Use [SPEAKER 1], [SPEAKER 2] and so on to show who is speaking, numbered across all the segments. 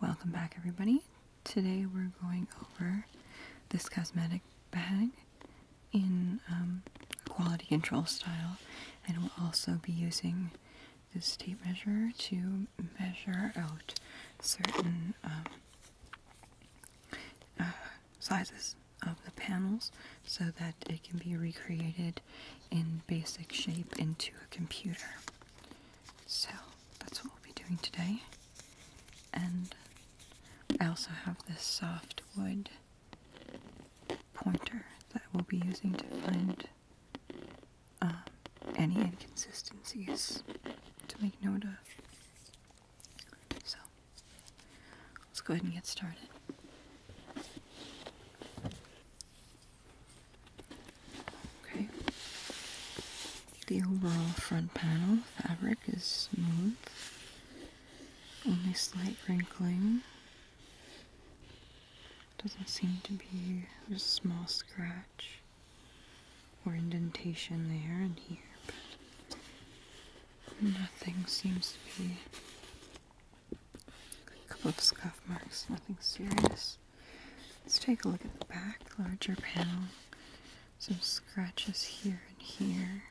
[SPEAKER 1] Welcome back everybody. Today we're going over this cosmetic bag in um, quality control style and we'll also be using this tape measure to measure out certain um, uh, sizes of the panels so that it can be recreated in basic shape into a computer. So that's what we'll be doing today. And I also have this soft wood pointer that we'll be using to find um, any inconsistencies to make note of. So let's go ahead and get started. Okay. The overall front panel fabric is smooth. Only slight wrinkling. Doesn't seem to be a small scratch or indentation there and here, but nothing seems to be a couple of scuff marks, nothing serious. Let's take a look at the back, larger panel. Some scratches here and here,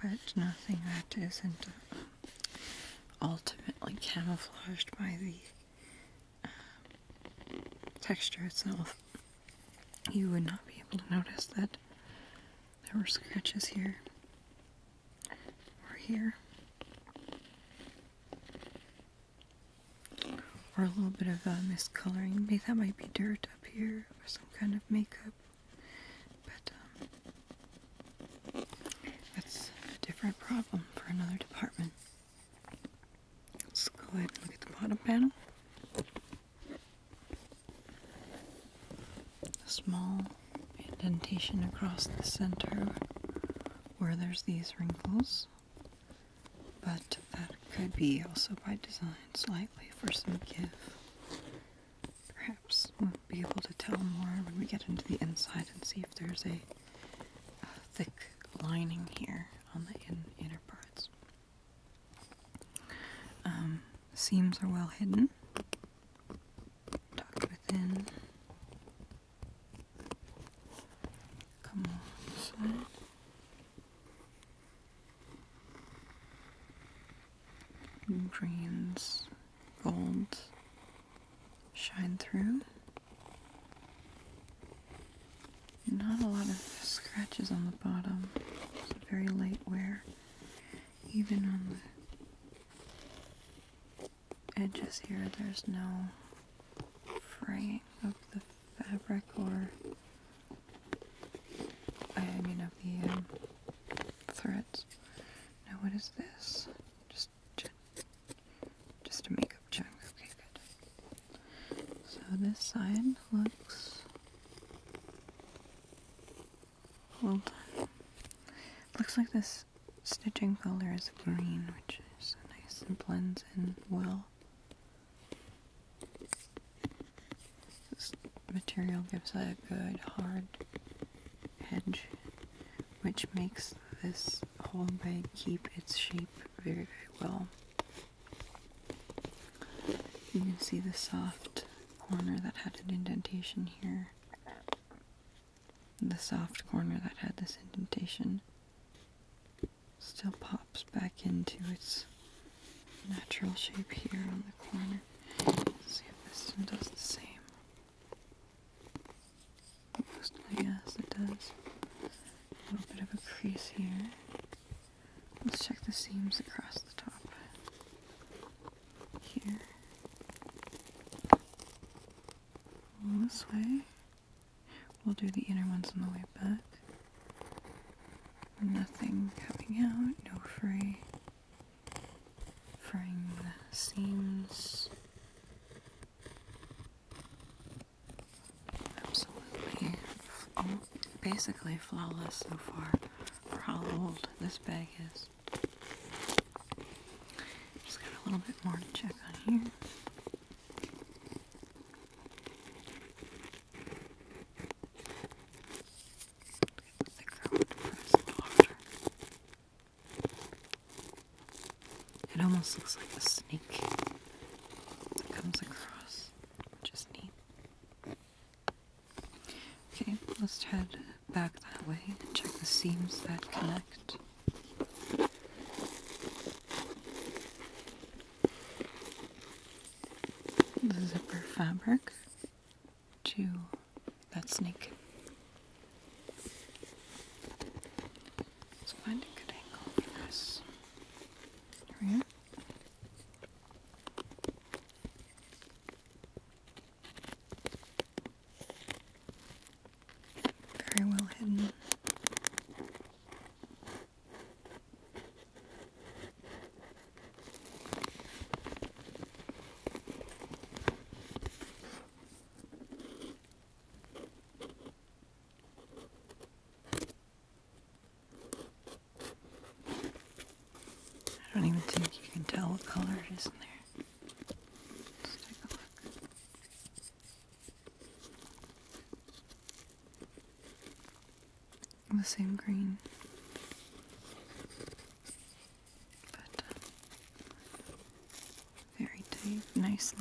[SPEAKER 1] but nothing that isn't uh, ultimately camouflaged by the uh, texture itself. You would not be able to notice that there were scratches here or here, or a little bit of uh, miscoloring. Maybe that might be dirt up here or some kind of makeup, but um, that's a different problem for another department. Let's go ahead and look at the bottom panel a small indentation across the center where there's these wrinkles. But that could be also by design slightly for some give. Perhaps we'll be able to tell more when we get into the inside and see if there's a, thick lining here on the in inner parts. Um, seams are well hidden tucked within. Come on, this Greens, gold. shine through. Not a lot of scratches on the bottom. very light wear, even on the edges here, there's no fraying of the fabric or, I mean, of the um, threads. Now, what is this? Just, just a makeup chunk. Okay, good. So this side looks Looks like this stitching color is green, which is nice and blends in well. This material gives a good hard edge, which makes this whole bag keep its shape very, very well. You can see the soft corner that had an indentation here the soft corner that had this indentation still pops back into its natural shape here on the corner. see if this one does the same. Mostly, yes, it does. A little bit of a crease here. Let's check the seams across the top here. this way. We'll do the inner ones on the way back. Nothing coming out, no fray. Fraying the seams. Absolutely. basically flawless so far for how old this bag is. Just got a little bit more to check on here. It almost looks like a snake that comes across, which neat. Okay, let's head back that way and check the seams that connect. zipper fabric to that snake. Let's find a good angle for this. Here we are. Very well hidden. I don't even think you can tell what color it is in there. The same green. But uh, very tight, nice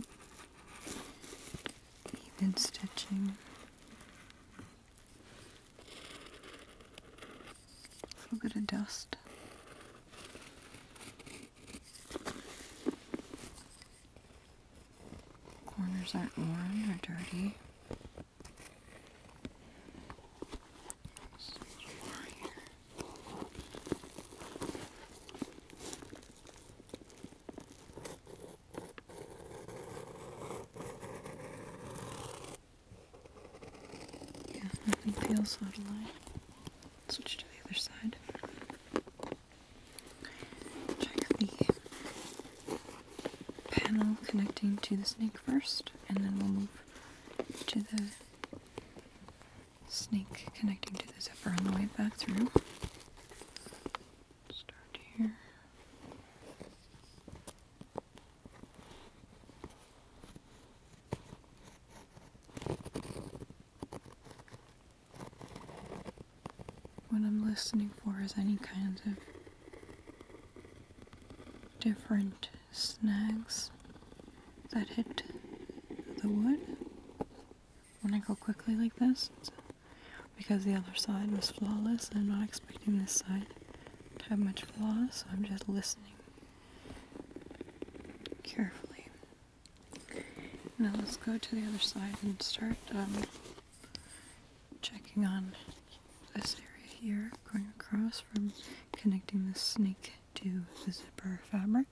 [SPEAKER 1] even stitching. A little bit of dust. Corners aren't worn or dirty. Yeah, nothing feels out of line. Switch to the other side. Check the panel connecting to the snake first, and then we'll move to the snake connecting to the zipper on the way back through. Start here. What I'm listening for is any kinds of different snags that hit the wood when I go quickly like this because the other side was flawless I'm not expecting this side have much flaw, so I'm just listening carefully. Now let's go to the other side and start um, checking on this area here, going across from connecting the snake to the zipper fabric.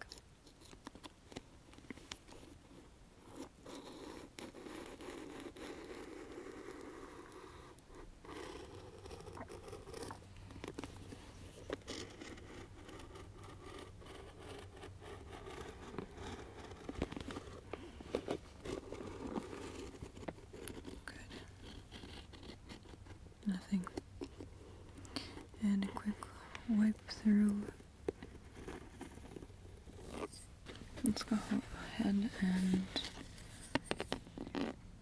[SPEAKER 1] Good. Nothing. And a quick wipe through. Let's go ahead and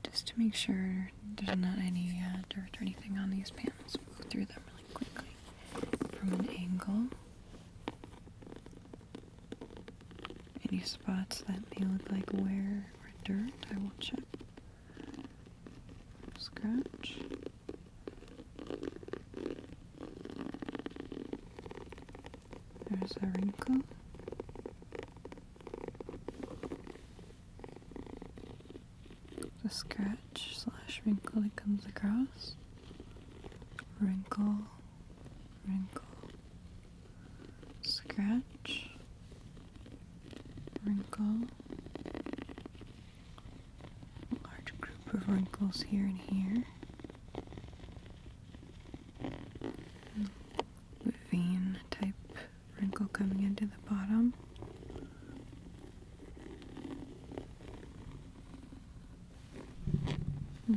[SPEAKER 1] just to make sure there's not any uh, dirt or anything on these panels. We'll go through them really quickly from an angle. Any spots that may look like wear or dirt, I will check. Scratch. There's a wrinkle. The scratch slash wrinkle that comes across. Wrinkle, wrinkle, scratch, wrinkle. A large group of wrinkles here and here vein type wrinkle coming into the bottom.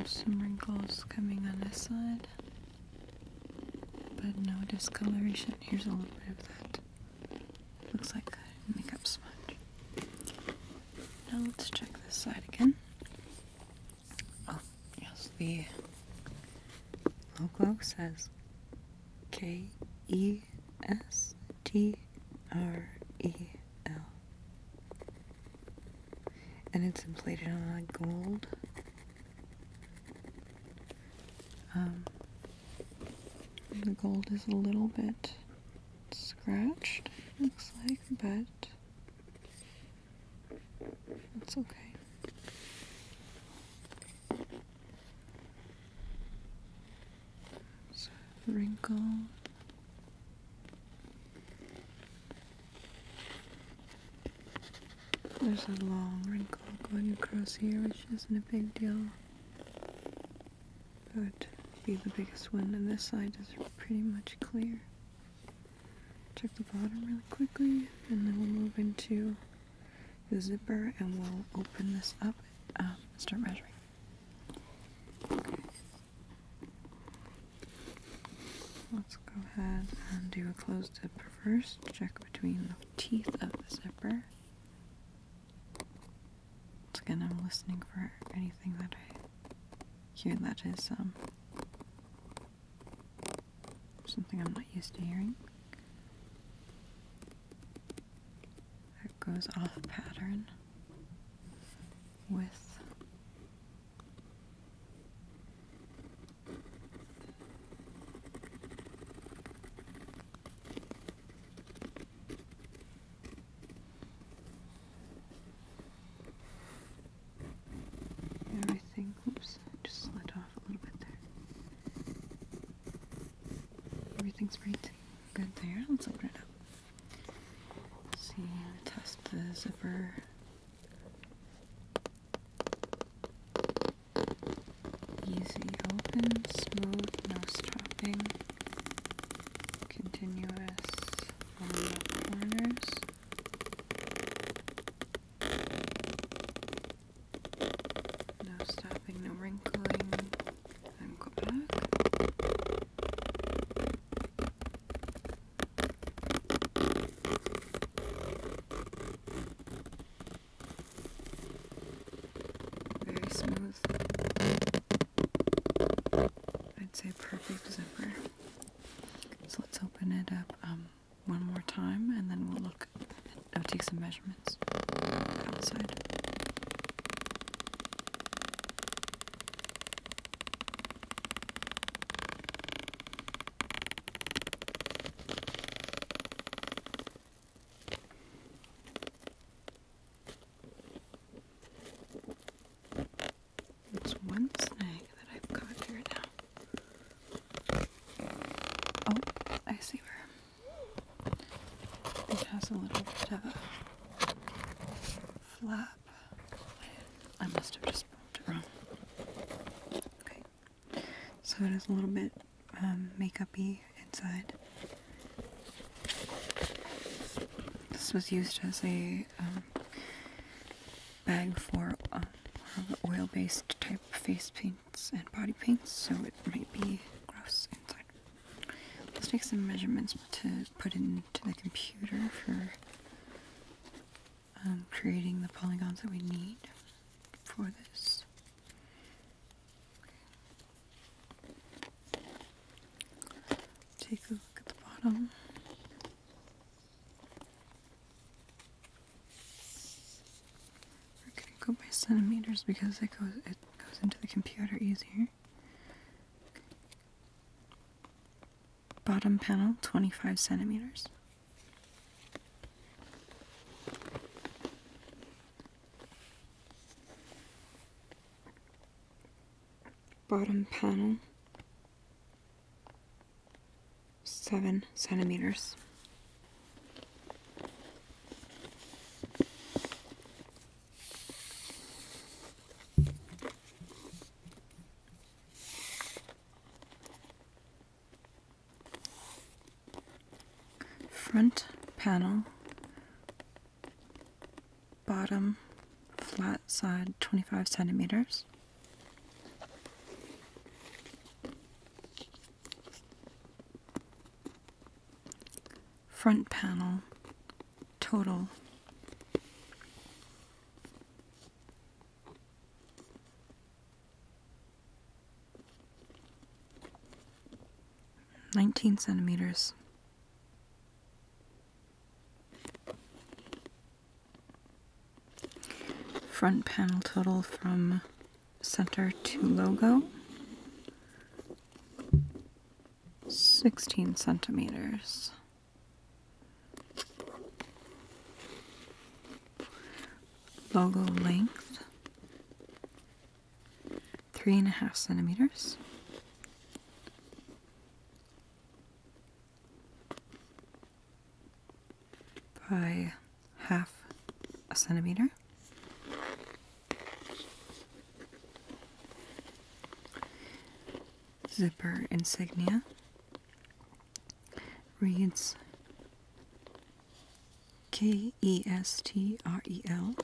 [SPEAKER 1] some wrinkles coming on this side, but no discoloration. Here's a little bit of that. Looks like a makeup sponge. Now let's check this side again. Oh, yes, the logo says K E S T R E L. And it's plated on gold. Um, the gold is a little bit scratched, looks like, but it's okay. wrinkle. There's a long wrinkle going across here, which isn't a big deal. That would be the biggest one, and this side is pretty much clear check the bottom really quickly and then we'll move into the zipper and we'll open this up and um, start measuring. Okay. Let's go ahead and do a closed zipper first. Check between the teeth of the zipper. Once again, I'm listening for anything that I hear that is um, Something I'm not used to hearing. That goes off pattern with everything. Oops, just slid off a little bit there. Everything's right good there. Let's open it up. Let's see, test the zipper. Easy open, smooth, no strapping, continuous on corners. No stopping, no wrinkling. Then go back. Very smooth. I'd say perfect zipper. So let's open it up um, one more time and then we'll look I'll take some measurements outside. It's one snake that I've caught here now. Oh, I see where it has a little bit of a flap. I must have just bumped it wrong. Okay, so it is a little bit um, inside. This was used as a um, bag for uh, oil-based type face paints and body paints, so it might be gross inside. Let's take some measurements to put into the computer for um, creating the polygons that we need for this. Take a look at the bottom. We're gonna go by centimeters because it goes it goes into the computer easier. Bottom panel, 25 centimeters. Bottom panel, seven centimeters. Front panel, bottom flat side 25 centimeters. Front panel, total. Nineteen centimeters. Front panel total from center to logo. 16 centimeters. Logo length, three and a half centimeters by half a centimeter. Zipper insignia reads K E S T R E L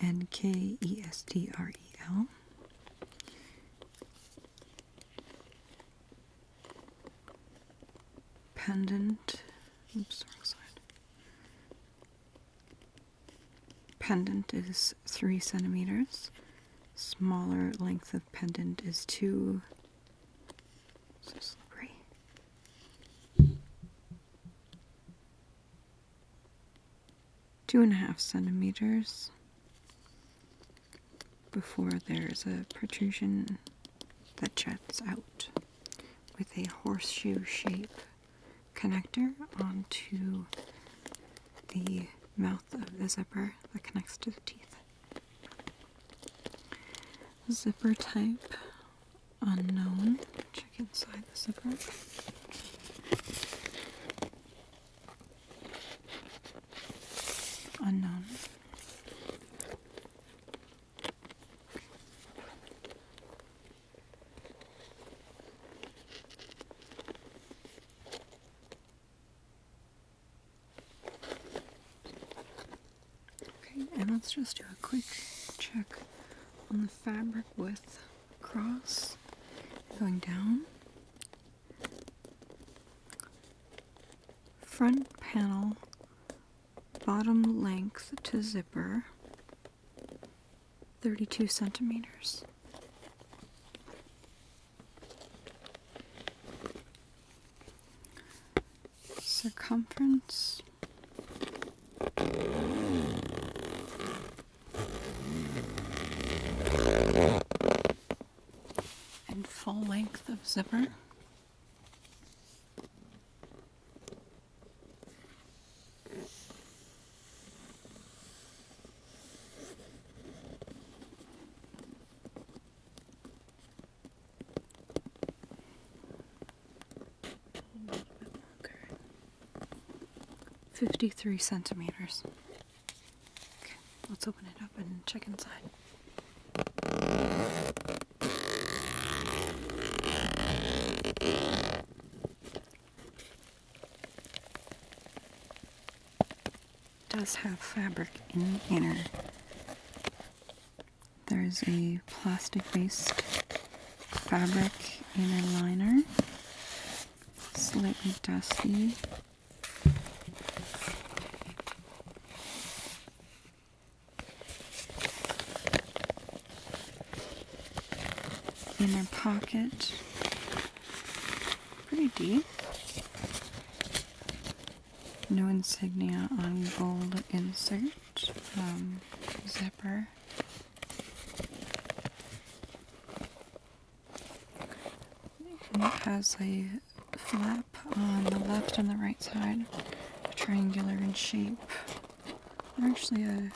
[SPEAKER 1] and K E S T R E L pendant, oops, wrong side. Pendant is three centimeters. Smaller length of pendant is two. So slippery. Two and a half centimeters before there's a protrusion that juts out with a horseshoe shape connector onto the mouth of the zipper that connects to the teeth. Zipper type unknown. Check inside the zipper unknown. Okay, and let's just do a quick check on the fabric with cross going down Front panel, bottom length to zipper, 32 centimeters. Circumference and full length of zipper. Fifty-three centimeters. Okay, let's open it up and check inside. does have fabric in the inner. There's a plastic based fabric inner liner, slightly dusty inner pocket. Pretty deep. No insignia on gold insert. Um, zipper it has a flap on the left and the right side, triangular in shape. Actually, a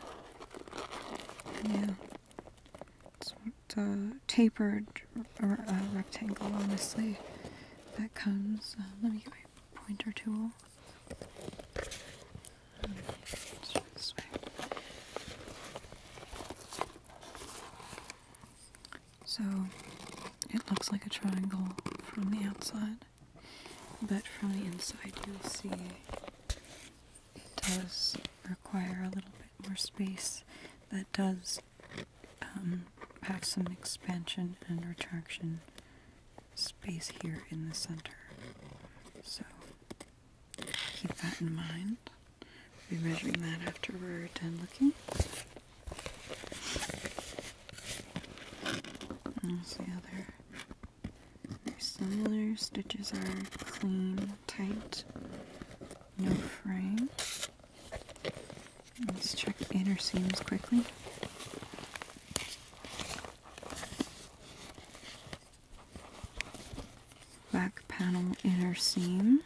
[SPEAKER 1] yeah, it's a tapered or a uh, rectangle. Honestly, that comes. Uh, let me get my pointer tool. So it looks like a triangle from the outside, but from the inside you'll see it does require a little bit more space that does um, have some expansion and retraction space here in the center. So Keep that in mind. we are measuring that after we're done looking. And see how they're similar. Stitches are clean, tight, no fraying. Let's check inner seams quickly back panel inner seam.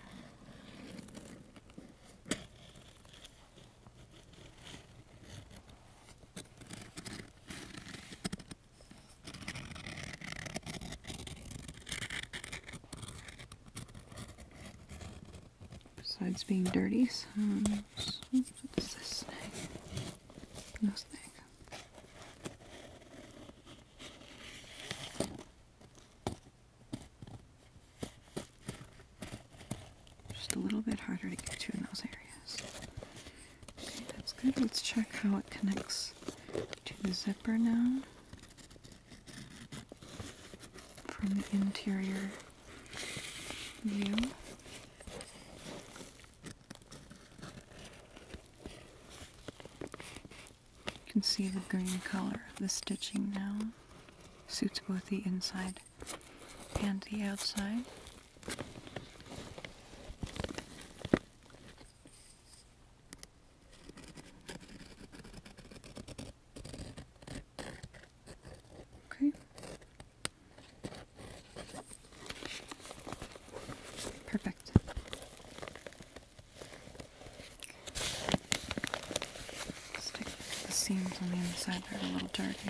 [SPEAKER 1] Besides being dirty, so what's this No snag. Just a little bit harder to get to in those areas. that's good. Let's check how it connects to the zipper now. From the interior view. You can see the green color of the stitching now. Suits both the inside and the outside. Okay. Perfect. Stick the seams on the inside, they're a little dirty.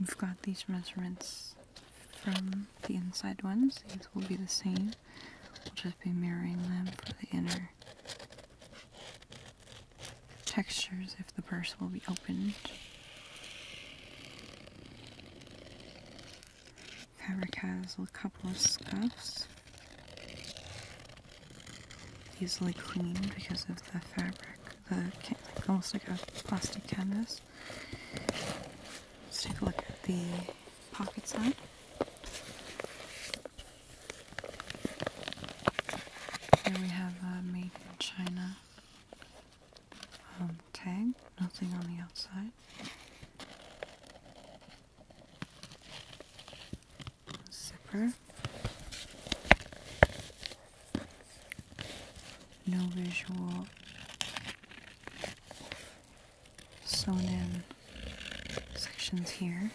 [SPEAKER 1] We've got these measurements from the inside ones. These will be the same. We'll just be mirroring them for the inner textures if the purse will be opened. Fabric has a couple of scuffs. Easily cleaned because of the fabric almost like a plastic canvas. Let's take a look at the pocket side. Here we have a made in China um, tag, nothing on the outside. Zipper no visual sewn in sections here.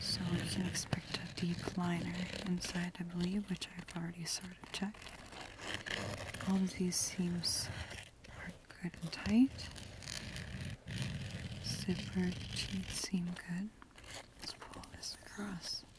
[SPEAKER 1] So we can expect a deep liner inside, I believe, which I've already sort of checked. All of these seams are good and tight. Zipper cheat seam good. Let's pull this across.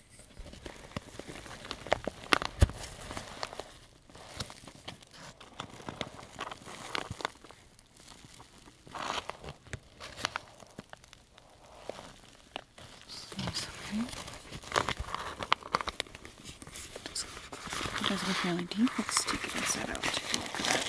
[SPEAKER 1] Sorry. So it does look really deep. Let's take it inside out. Take a look at that.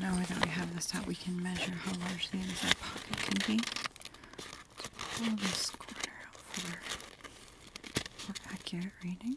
[SPEAKER 1] Now that we have this out, we can measure how large the inside pocket can be. pull this corner out for accurate reading.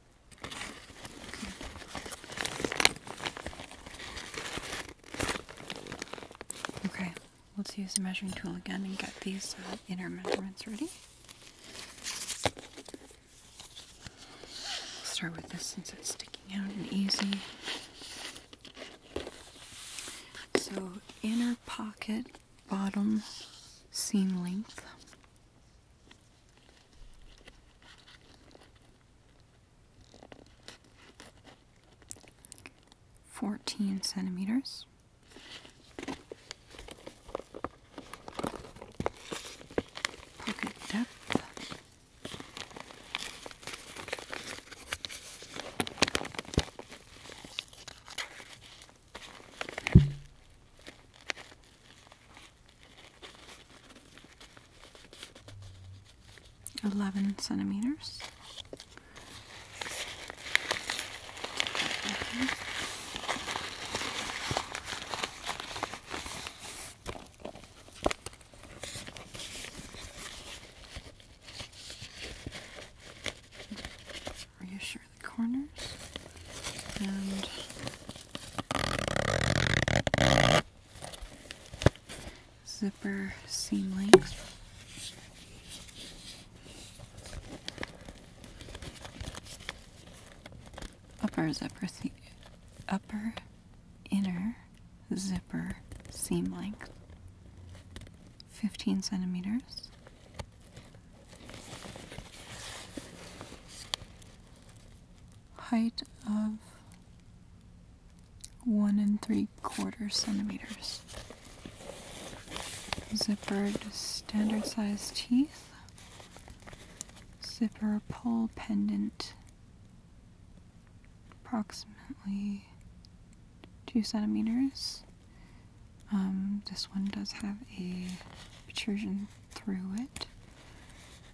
[SPEAKER 1] Okay, let's use the measuring tool again and get these uh, inner measurements ready. Start with this since it's sticking out and easy. So, inner pocket bottom seam length Fourteen centimeters. Pocket depth. 11 centimeters. Are you sure the corners and zipper seam length. Upper zipper seam, upper inner zipper seam length 15 centimeters height of one and three quarter centimeters. Zippered standard size teeth. Zipper pole pendant. Approximately two centimeters. Um, this one does have a protrusion through it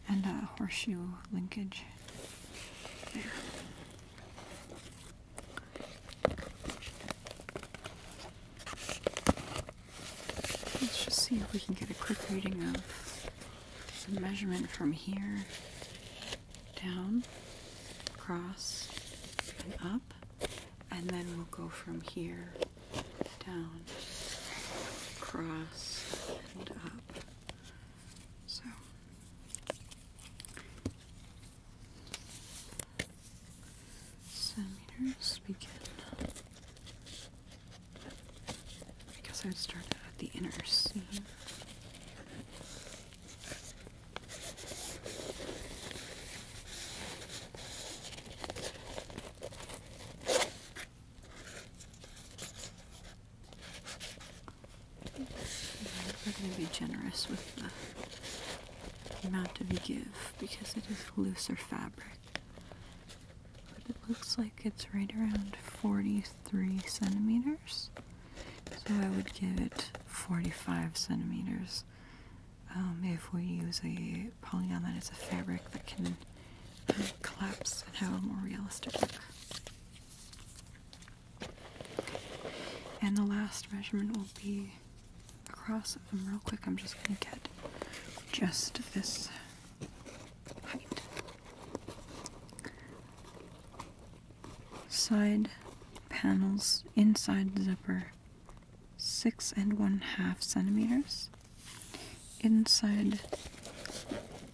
[SPEAKER 1] and a horseshoe linkage Let's just see if we can get a quick reading of the measurement from here down, across, and up, and then we'll go from here down, across, and up. So centimeters begin I guess I'd start at the inner seam. We're going to be generous with the amount of we give because it is looser fabric. But it looks like it's right around 43 centimeters. So I would give it 45 centimeters um, if we use a polygon that is a fabric that can collapse and have a more realistic look. And the last measurement will be across them real quick. I'm just going to get just this height. Side panels inside zipper, six and one half centimeters inside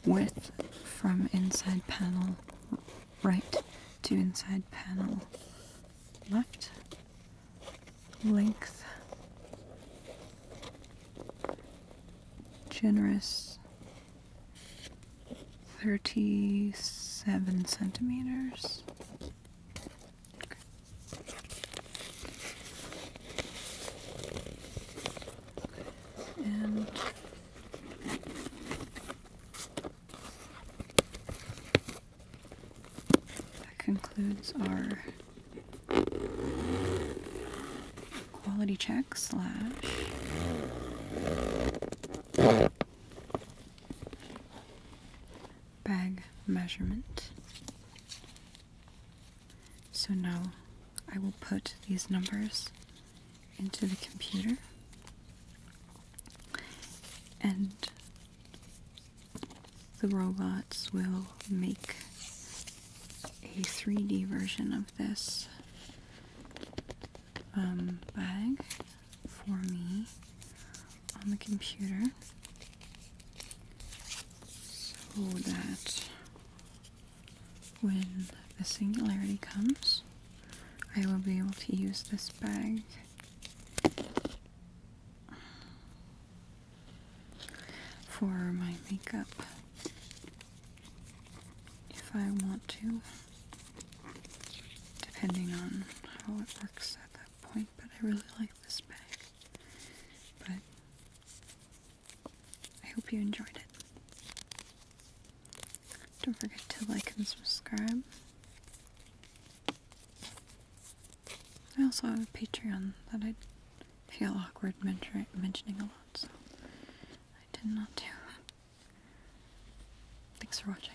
[SPEAKER 1] width from inside panel right to inside panel left, length, generous 37 centimeters. And that concludes our quality check slash bag measurement so now I will put these numbers into the computer and the robots will make a 3D version of this um, bag for me on the computer so that when the singularity comes, I will be able to use this bag. For my makeup, if I want to, depending on how it works at that point, but I really like this bag. But I hope you enjoyed it. Don't forget to like and subscribe. I also have a Patreon that I feel awkward mentioning a lot, so I did not do Thanks for watching.